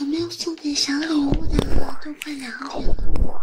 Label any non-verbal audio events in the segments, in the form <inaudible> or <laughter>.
我没有送给小礼物的，都快两点了。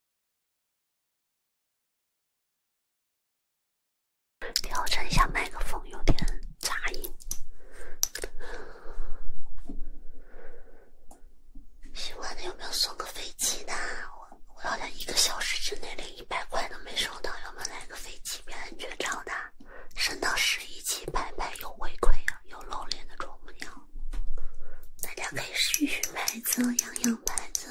调整一下麦克风，有点杂音。喜欢的有没有送个飞机的？我我要在一个小时之内连一百块都没收到，有没有来个飞机？安全超的，升到十一级，拍拍有回馈啊，有露脸的啄木鸟，大家可以续续牌子，养养牌子。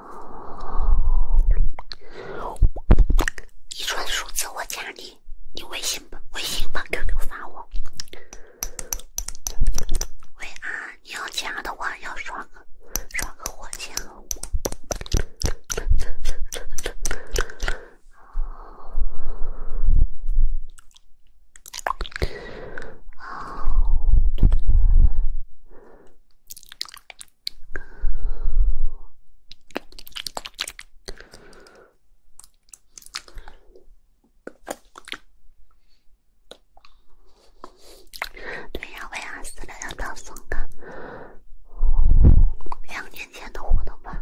一串数字，我加你。你微信、微信把 QQ 发我。喂啊，你要加的话，要刷个刷个火箭哦。对呀，为啥四六六都送个两年前的活动吧？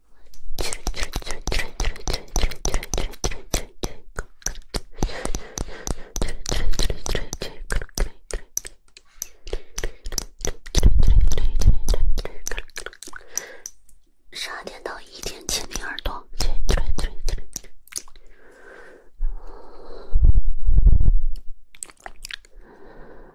十二点到一点，七零二度。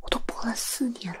我都播了四年了。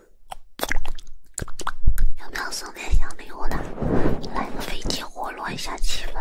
有没有送点小礼物的？来个飞机，活络一下气氛。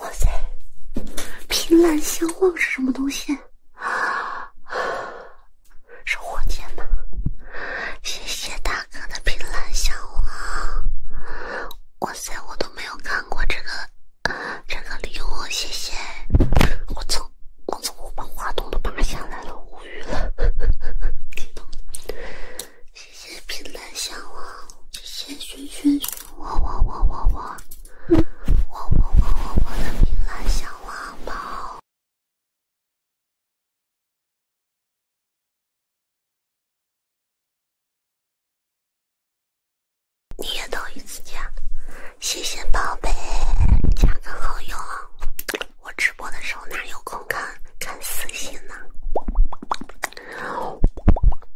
哇塞！凭栏相望是什么东西？啊，是火箭吗？谢谢大哥的凭栏相望！哇塞，我都没有看过这个。啊，这个礼物谢谢！我操，我从我把话筒都拔下来了，无语了。激动！谢谢评论小王，谢谢轩轩我我我我我我我我的评论小王宝。你也头一次家，谢谢宝贝，加个好友啊！我直播的时候哪有空看看私信呢？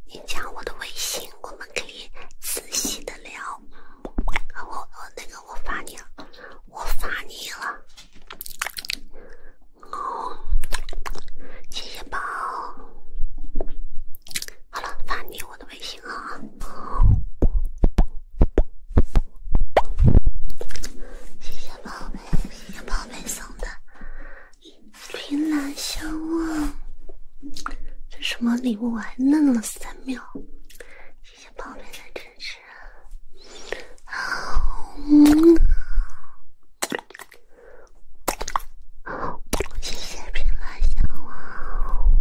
你加我的微信，我们可以仔细的聊。我我那个我发你了，我发你了。哦，谢谢宝。好了，发你我的。微信啊。谢谢宝贝，谢谢宝贝送的凭栏相望，这什么礼物？我还愣了三秒。谢谢宝贝的支持，谢谢凭栏相望。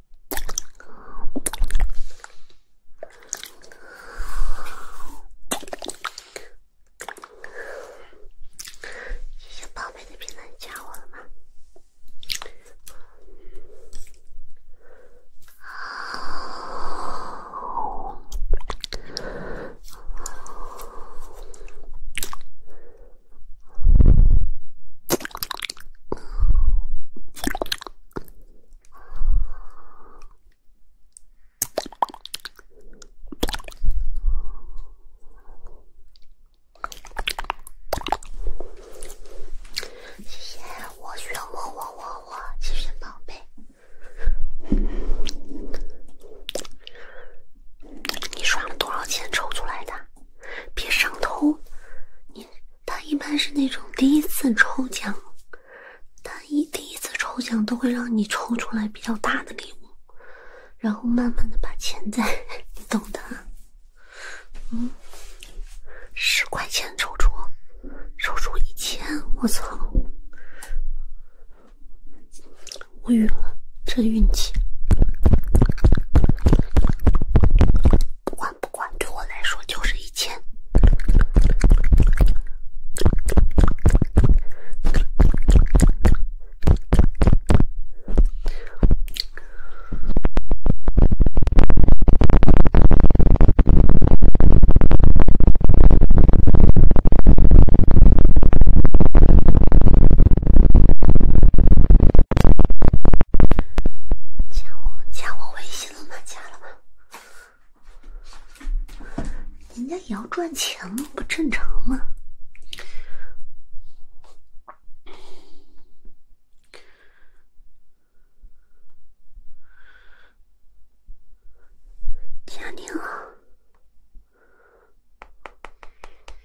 谢谢宝贝的评论，加我了吗？谢谢我炫我我我我，谢谢宝贝。你刷了多少钱抽出来的？别上头！你他一般是那种第一次抽奖，他一第一次抽奖都会让你抽出来比较大的礼物，然后慢慢的把钱在，<laughs> 你懂的。嗯，十块钱抽出，抽出一千，我操，无语了，这运气。不管不管，对我来说就是一千。加我，加我微信了吗？加了吗？人家也要赚钱吗？不正常吗？加你了。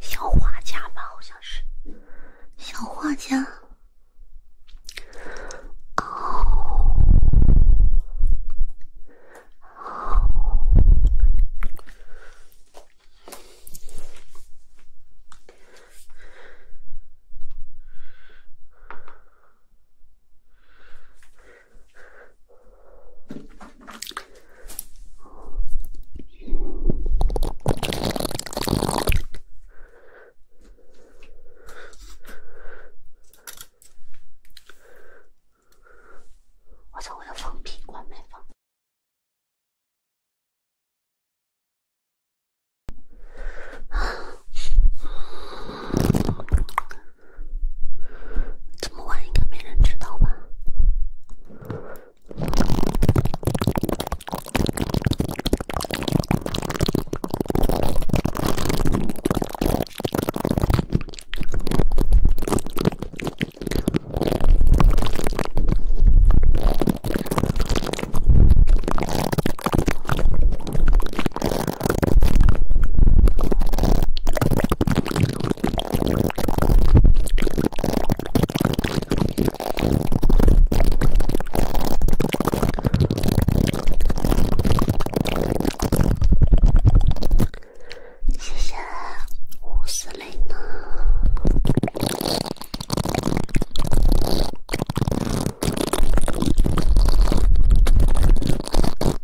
小画家吧，好像是小画家。哦。我操！我要放屁，关麦放。这么晚应该没人知道吧。谢谢吴司令呢。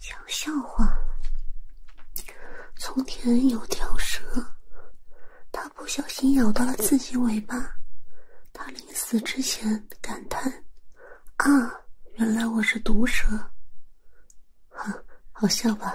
讲笑话。从前有条蛇，它不小心咬到了自己尾巴。它临死之前感叹：“啊，原来我是毒蛇。”哈，好笑吧？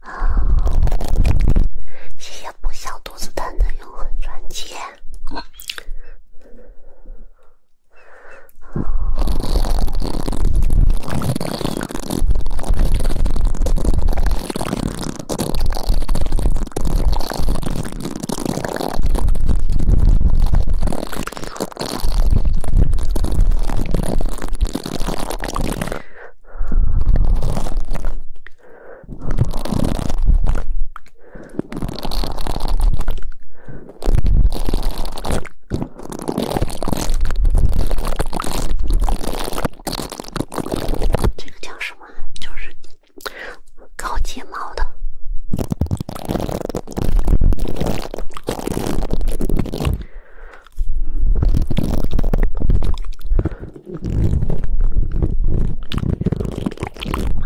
啊！谢谢不笑肚子疼的永恒钻戒。这个叫什么？就是。搞睫毛的，妈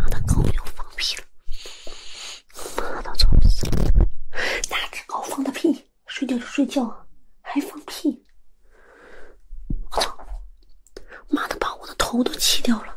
的放屁了，妈死了。哪只狗放的屁？睡觉就睡觉还放屁？我操！妈的，把我的头都气掉了。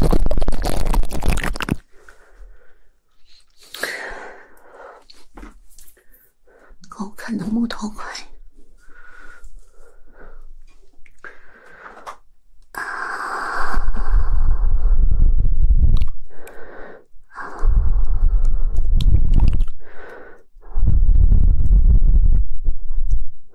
狗看的木头块。啊。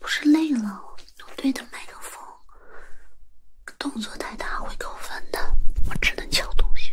不是累了，我对着麦克风，动作太大会扣分的，我只能敲东西。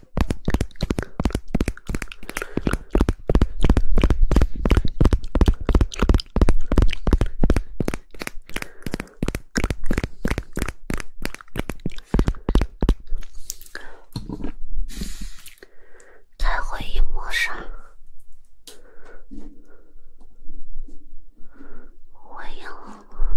开回忆模式，回应我。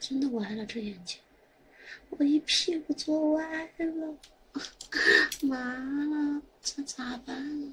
真的歪了这眼睛，我一屁股坐歪了，麻 <laughs> 了，这咋办？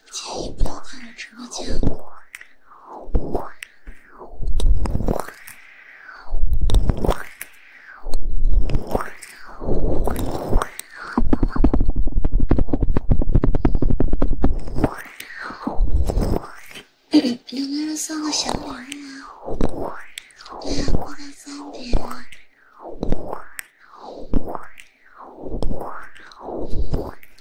建议不要进我直播间。有个人送了小礼物，对呀，过了三点。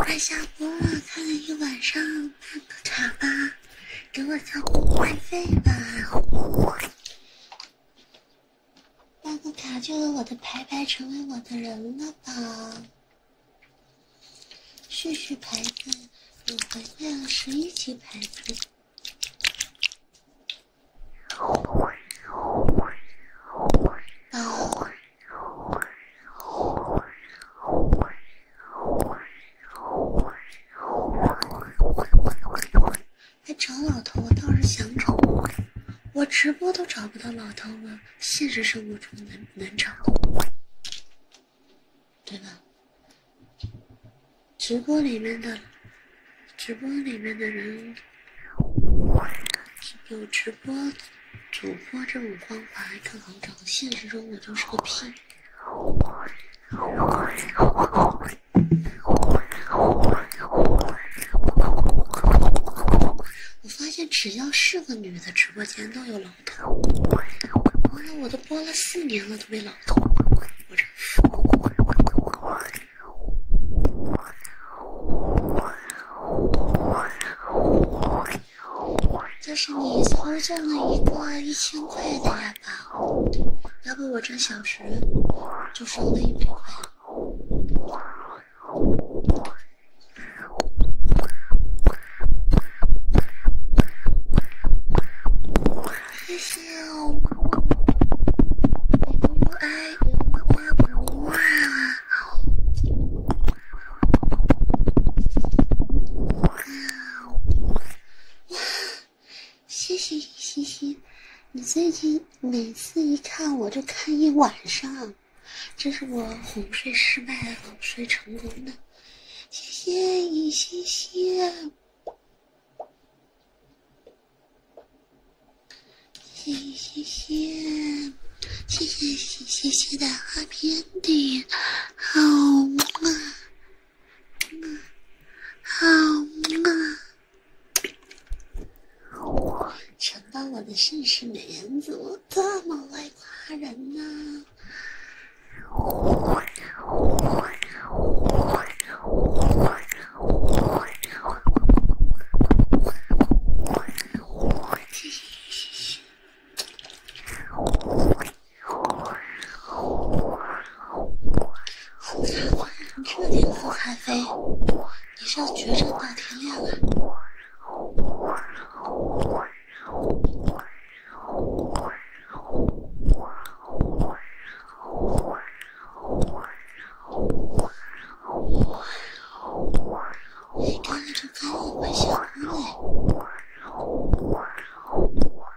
快下播了，看了一晚上，看个啥吧？给我交会费吧，办个卡就有我的牌牌，成为我的人了吧？试试牌子，我回来了十一级牌子。那找老头，我倒是想找，我直播都找不到老头了，现实生活中难难找，对吧？直播里面的，直播里面的人，有直播主播这种方法更好找，现实中我就是个屁。我发现只要是个女的直播间都有老头。完了，我都播了四年了，都没老头。我这……这是你存进了一个一千块的。呀。好，要不我这小时就收了一百块。谢谢嘻嘻，你最近每次一看我就看一晚上，这是我哄睡失败、哄睡成功的。谢谢嘻嘻。谢谢谢谢谢谢谢谢的花边点，好嘛。嗯，好嘛！难道我的盛世美颜怎么这么会夸人呢？你这点喝咖啡，你是要决战大天亮了？看着泡沫消失。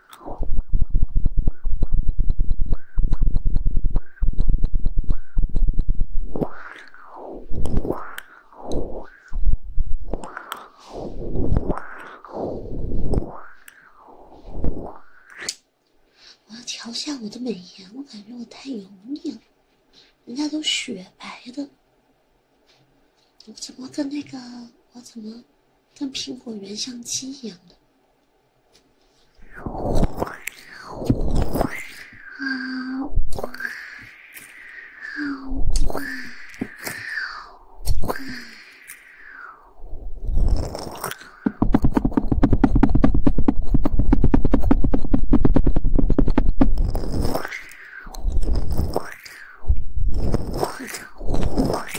我要调下我的美颜，我感觉我太油腻了，人家都雪白的，我怎么跟那个我怎么？跟苹果原相机一样的。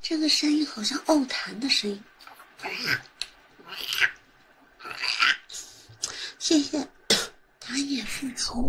这个声音好像奥弹的声音。谢谢打野复仇。